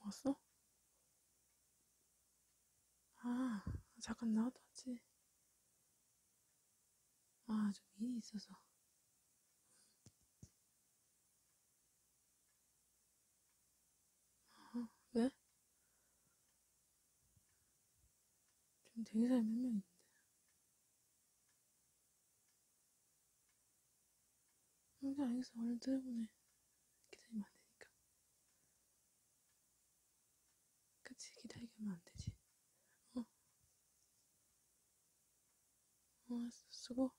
왔어? 아, 잠깐 나왔다 왔지. 아, 좀 일이 있어서. 아, 왜? 지금 되게 사람이 몇명 있는데. 혼자 알겠어. 얼른 들어보네. 기다리면 안 되니까. 그치, 기다리게 하면 안 되지. 어. 어, 수고.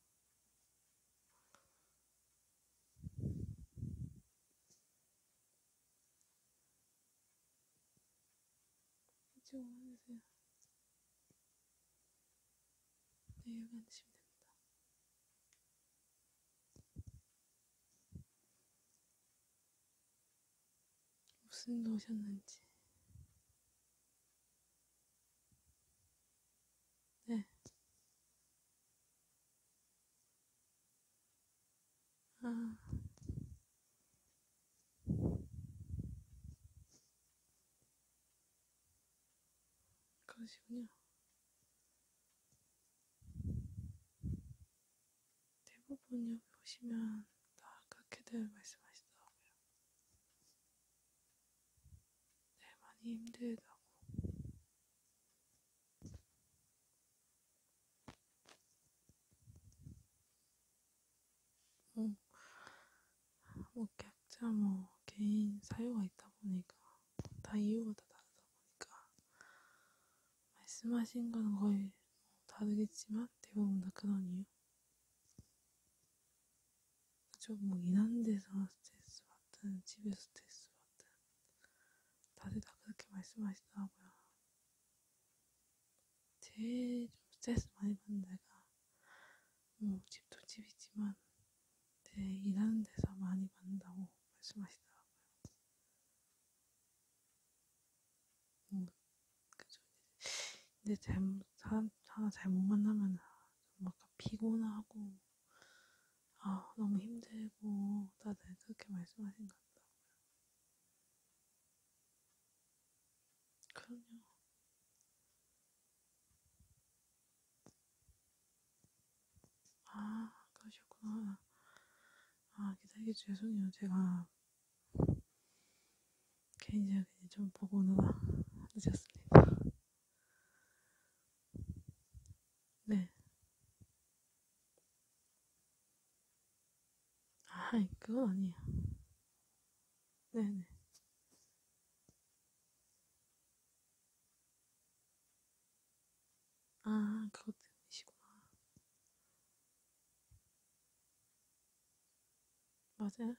이쪽으로 해주세요. 네, 여기 앉으시면 됩니다. 무슨 노셨는지. 네. 아. 그러시군요. 대부분 여기 오시면 다 그렇게들 말씀하시더라고요. 네, 많이 힘들다고. 음. 뭐, 뭐각자 뭐 개인 사유가 있다 보니까 다 이유가 다 다르다 보니까 말씀하신 건 거의 다르겠지만 대부분 다 그런 이유. 그죠? 뭐 일하는 데서 스트레스 받든 집에서 스트레스 받든 다들 다 그렇게 말씀하시더라고요. 제일 좀 스트레스 많이 받는 데가 뭐 집도 집이지만 제 네, 일하는 데서 많이 받는다고 말씀하시더라고요. 음, 그죠. 근데 잘못 사람 하나 잘못 만나면 막 피곤하고 아, 너무 힘들고, 다들 그렇게 말씀하신 것 같다고요. 그럼요. 아, 그러셨구나. 아, 기다리기 죄송해요. 제가 개인적인 좀 보고 오느라 늦었습니다. 네. 아, 그건 아니야. 네네. 아, 그것 때문이시구나. 맞아요.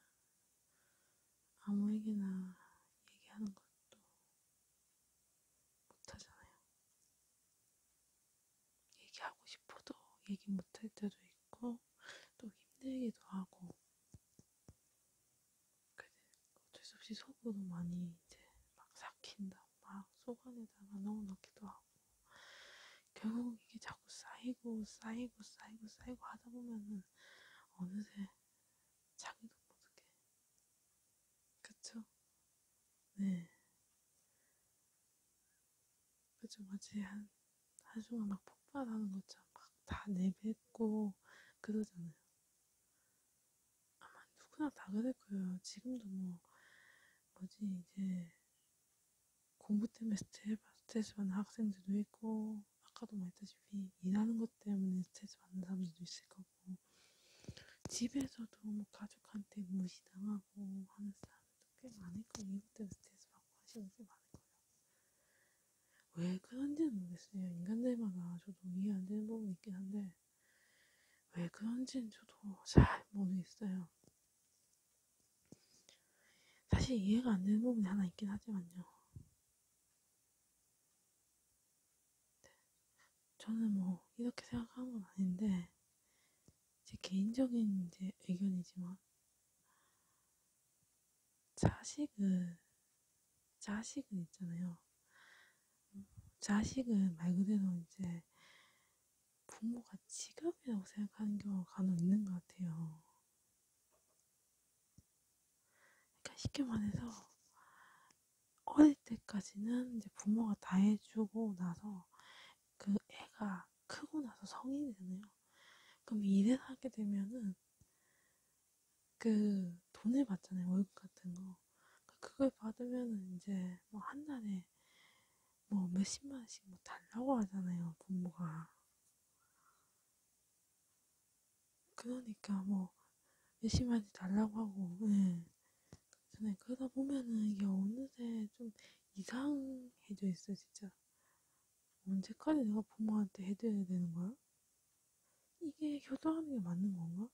아무에게나 얘기하는 것도 못하잖아요. 얘기하고 싶어도 얘기 못할 때도 있고 또 힘들기도 하고 그래 어쩔 수 없이 속으로 많이 이제 막 삭힌다 막 속 안에다가 넣어놓기도 하고 결국 이게 자꾸 쌓이고 쌓이고 쌓이고 쌓이고 하다 보면은 어느새 자기도 모르게 그쵸? 네. 그죠, 마치 한, 한순간 막 폭발하는 것처럼 막 다 내뱉고 그러잖아요. 아마 누구나 다 그럴 거예요. 지금도 뭐, 뭐지, 이제, 공부 때문에 스트레스 받는 학생들도 있고, 아까도 말했다시피, 일하는 것 때문에 스트레스 받는 사람들도 있을 거고, 당하고 집에서도 뭐 가족한테 무시당하고 하는 사람도 꽤 많을 거예요. 이것 때문에 스트레스 받고 하시는 게 많을 거예요. 왜 그런지는 모르겠어요. 인간들마다 저도 이해 안 되는 부분이 있긴 한데 왜 그런지는 저도 잘 모르겠어요. 사실 이해가 안 되는 부분이 하나 있긴 하지만요. 저는 뭐 이렇게 생각하는 건 아닌데 제 개인적인 이제 의견이지만 자식은 자식은 있잖아요. 자식은 말 그대로 이제 부모가 직업이라고 생각하는 경우가 간혹 있는 것 같아요. 그러니까 쉽게 말해서 어릴 때까지는 이제 부모가 다 해주고 나서 그 애가 크고 나서 성인이 되네요. 그럼 일을 하게 되면은 그 돈을 받잖아요. 월급 같은 거. 그러니까 그걸 받으면은 이제 뭐 한 달에 뭐 몇십만 원씩 뭐 달라고 하잖아요. 부모가. 그러니까 뭐 몇십만 원씩 달라고 하고, 예. 저는 그러다 보면은 이게 어느새 좀 이상해져 있어, 진짜. 언제까지 내가 부모한테 해드려야 되는 거야? 이게 효도하는 게 맞는 건가?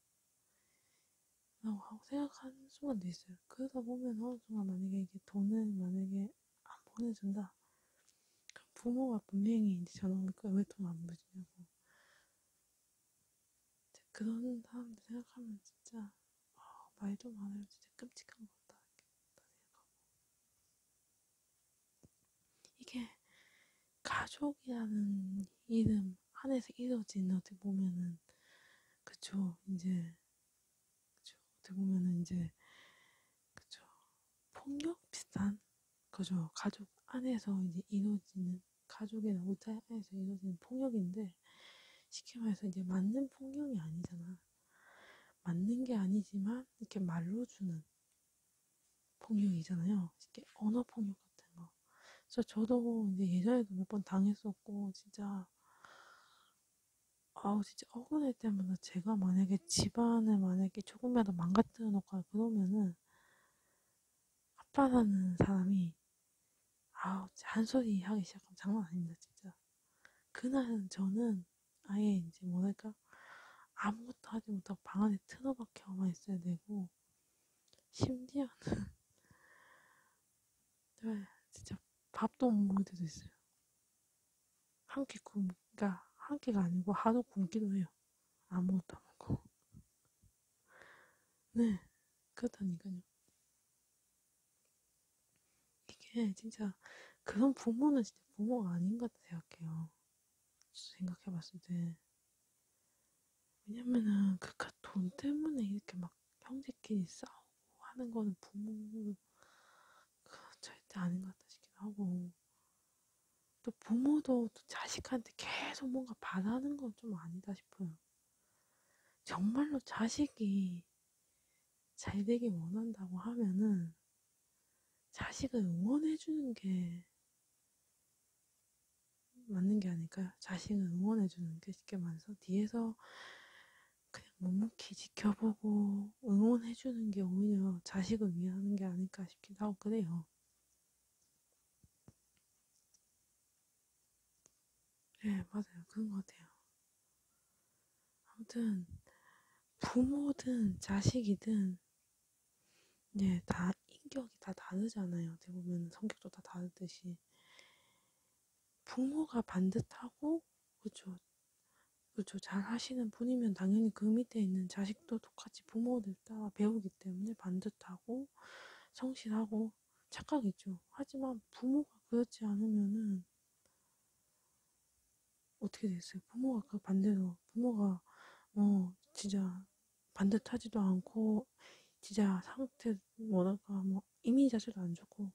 라고 생각하는 순간도 있어요. 그러다 보면 어느 순간 만약에 이게 돈을 만약에 안 보내준다. 그럼 부모가 분명히 이제 전화 올 거야. 왜돈안 보내주냐고. 그런 사람들 생각하면 진짜 아, 말도 많아요. 진짜 끔찍한 것 같다. 다 생각하고. 이게 가족이라는 이름 안에서 이루어진 어떻게 보면은 그쵸 이제 그쵸 어떻게 보면은 이제 그쵸 폭력 비슷한 그죠 가족 안에서 이제 이루어지는 가족이나 우타에서 이루어지는 폭력인데 쉽게 말해서 이제 맞는 폭력이 아니잖아. 맞는 게 아니지만 이렇게 말로 주는 폭력이잖아요. 쉽게 언어 폭력 같은 거. 그래서 저도 이제 예전에도 몇 번 당했었고 진짜 아우 진짜 억울할 때마다 제가 만약에 집안을 만약에 조금이라도 망가뜨려 놓고 그러면은 아빠라는 사람이 아우 한소리 하기 시작하면 장난 아닙니다 진짜 그날은 저는 아예 이제 뭐랄까 아무것도 하지 못하고 방 안에 틀어박혀 가만 있어야 되고 심지어는 네, 진짜 밥도 못 먹을 때도 있어요 한 끼 굶, 그러니까 한 끼가 아니고 하루 굶기도 해요 아무것도 안 먹고 네 그렇다니까요 이게 진짜 그런 부모는 진짜 부모가 아닌 것 같다 생각해요. 생각해봤을 때. 왜냐면은 그깟 그 돈 때문에 이렇게 막 형제끼리 싸우고 하는 거는 부모 그 절대 아닌 것 같다 싶기도 하고 또 부모도 또 자식한테 계속 뭔가 바라는 건 좀 아니다 싶어요. 정말로 자식이 잘 되길 원한다고 하면은 자식을 응원해주는 게 맞는 게 아닐까요? 자식을 응원해주는 게 쉽게 말해서 뒤에서 그냥 묵묵히 지켜보고 응원해주는 게 오히려 자식을 위해 하는 게 아닐까 싶기도 하고 그래요. 네, 맞아요. 그런 것 같아요. 아무튼, 부모든 자식이든, 네, 다 인격이 다 다르잖아요. 어떻게 보면 성격도 다 다르듯이. 부모가 반듯하고, 그쵸. 그쵸. 잘 하시는 분이면 당연히 그 밑에 있는 자식도 똑같이 부모들 따라 배우기 때문에 반듯하고, 성실하고, 착각이죠. 하지만 부모가 그렇지 않으면은 어떻게 됐어요? 부모가 그 반대로 부모가 어 진짜 반듯하지도 않고 진짜 상태 뭐랄까 뭐 이미 자체도 안 좋고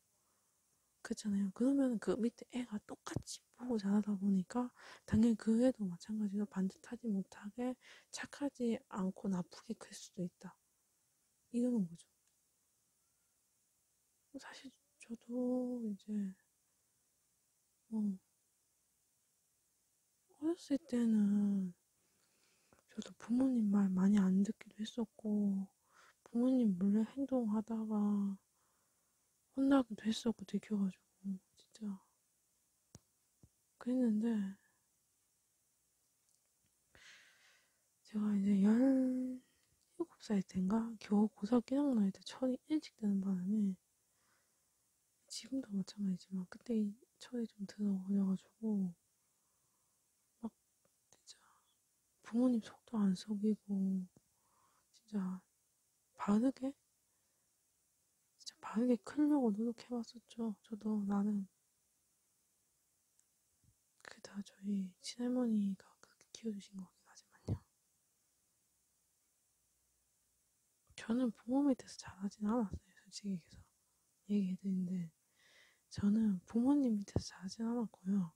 그렇잖아요. 그러면 그 밑에 애가 똑같이 보고 자라다 보니까 당연히 그 애도 마찬가지로 반듯하지 못하게 착하지 않고 나쁘게 클 수도 있다. 이러는 거죠. 뭐 사실 저도 이제 뭐 어렸을 때는 저도 부모님 말 많이 안 듣기도 했었고 부모님 몰래 행동하다가 혼나기도 했었고 들켜가지고 진짜 그랬는데 제가 이제 17살 때인가 겨우 고등학교 1학년 때 철이 일찍 드는 바람에 지금도 마찬가지지만 그때 철이 좀 들어버려가지고 막 진짜 부모님 속도 안 속이고 진짜 바르게 진짜 바르게 크려고 노력해봤었죠. 저도 나는 그게 다 저희 친할머니가 그렇게 키워주신 거긴 하지만요. 저는 부모 밑에서 자라진 않았어요, 솔직히 계속 얘기해드리는데, 저는 부모님 밑에서 자라진 않았고요.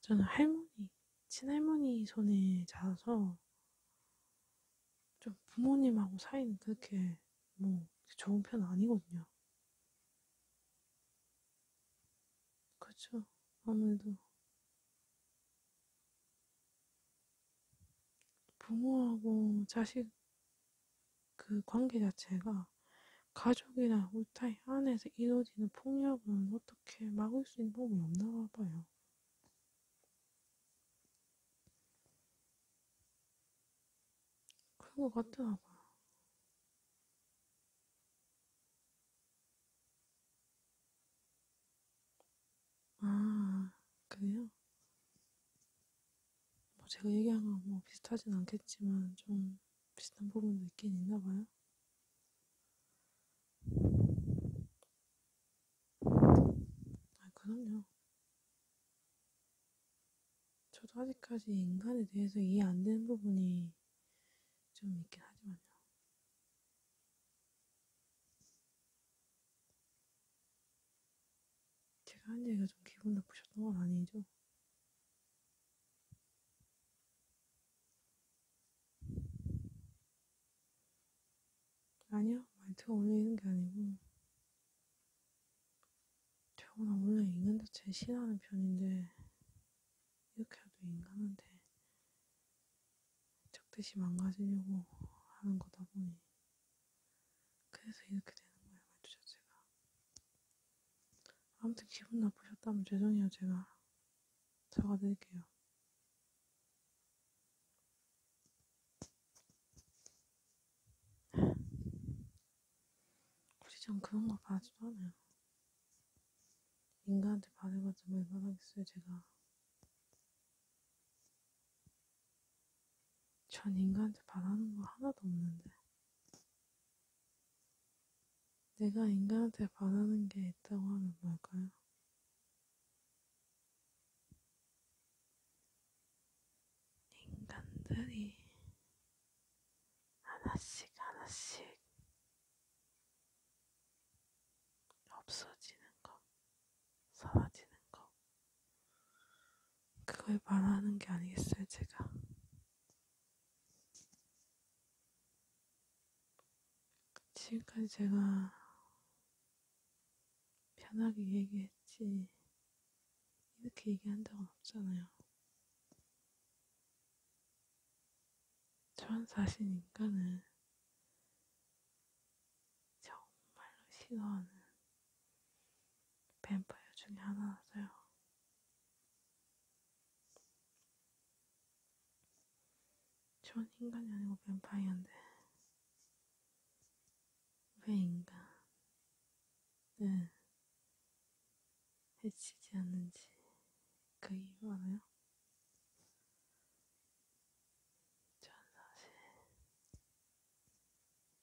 저는 할머니, 친할머니 손에 자라서 좀 부모님하고 사이는 그렇게 뭐 좋은 편은 아니거든요. 그렇죠. 아무래도 부모하고 자식 그 관계 자체가 가족이나 우타이 안에서 이루어지는 폭력은 어떻게 막을 수 있는 법이 없나 봐요. 그런 것 같더라고요. 아, 그래요? 뭐 제가 얘기한 거랑 뭐 비슷하진 않겠지만 좀 비슷한 부분도 있긴 있나 봐요. 아, 그럼요. 저도 아직까지 인간에 대해서 이해 안 되는 부분이 좀 있긴 하지만요. 제가 한 얘기가 좀 기분 나쁘셨던 건 아니죠? 아니요, 말투가 올리는 게 아니고, 저는 원래 읽는 자체를 싫어하는 편인데 이렇게라도 인간한테 적듯이 망가지려고 하는 거다 보니 그래서 이렇게 되는 거예요 말투 자체가 아무튼 기분 나쁘셨다면 죄송해요 제가 사과드릴게요 굳이 전 그런 걸 바라지도 않아요. 인간한테 바래봤자 얼마나 겠어요 제가. 전 인간한테 바라는 거 하나도 없는데. 내가 인간한테 바라는 게 있다고 하면 뭘까요? 인간들이 하나씩 하나씩 없어지는 거, 사라지는 거. 그걸 말하는 게 아니겠어요, 제가. 지금까지 제가 편하게 얘기했지, 이렇게 얘기한 적은 없잖아요. 천사신 인간은 정말로 싫어하는 뱀파이어 중에 하나라서요. 전 인간이 아니고 뱀파이어인데 왜 인간은 해치지 않는지 그게 많아요? 전 사실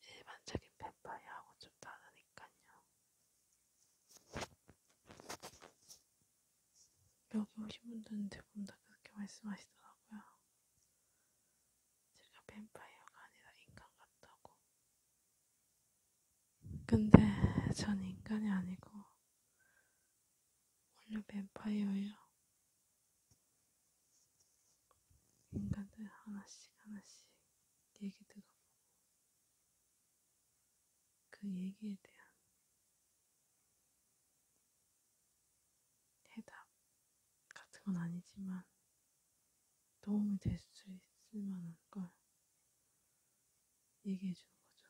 일반적인 뱀파이어하고 좀 다르니까요. 여기 오신 분들은 대부분 다 그렇게 말씀하시더라고요. 제가 뱀파이어가 아니라 인간 같다고. 근데 전 인간이 아니고 원래 뱀파이어예요. 인간들 하나씩 하나씩 얘기 들어보고 그 얘기에 대한 해답 같은 건 아니지만 도움이 될 수 있을 만한 걸 얘기해 주는 거죠.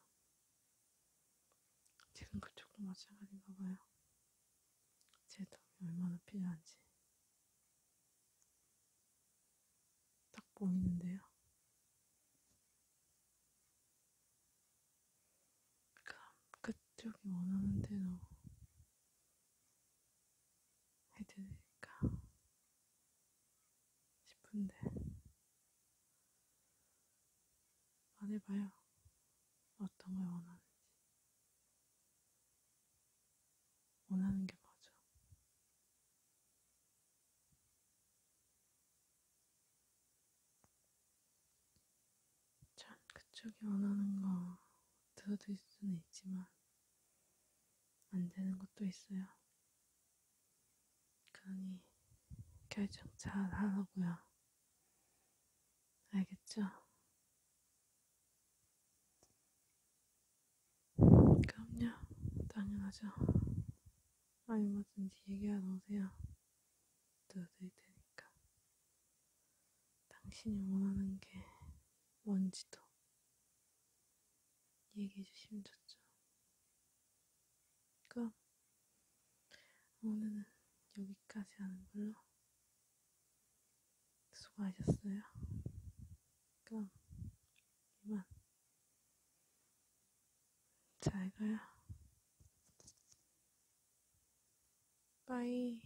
지금 그쪽도 마찬가지인가 봐요. 제 도움이 얼마나 필요한지. 딱 보이는데요. 그럼 그쪽이 원하는 대로 해드릴까? 싶은데 안 해봐요. 어떤 걸 원하는지 원하는 게 뭐죠? 참 그쪽이 원하는 거 들어드릴 수는 있지만 안 되는 것도 있어요. 그러니 결정 잘 하라고요. 알겠죠? 그럼요. 당연하죠. 아니 뭐든지 얘기하러 오세요. 들어드릴 테니까. 당신이 원하는 게 뭔지도 얘기해 주시면 좋죠. 그럼 그러니까 오늘은 여기까지 하는 걸로 수고하셨어요. 그럼 그러니까 이만 잘 가요. 빠이.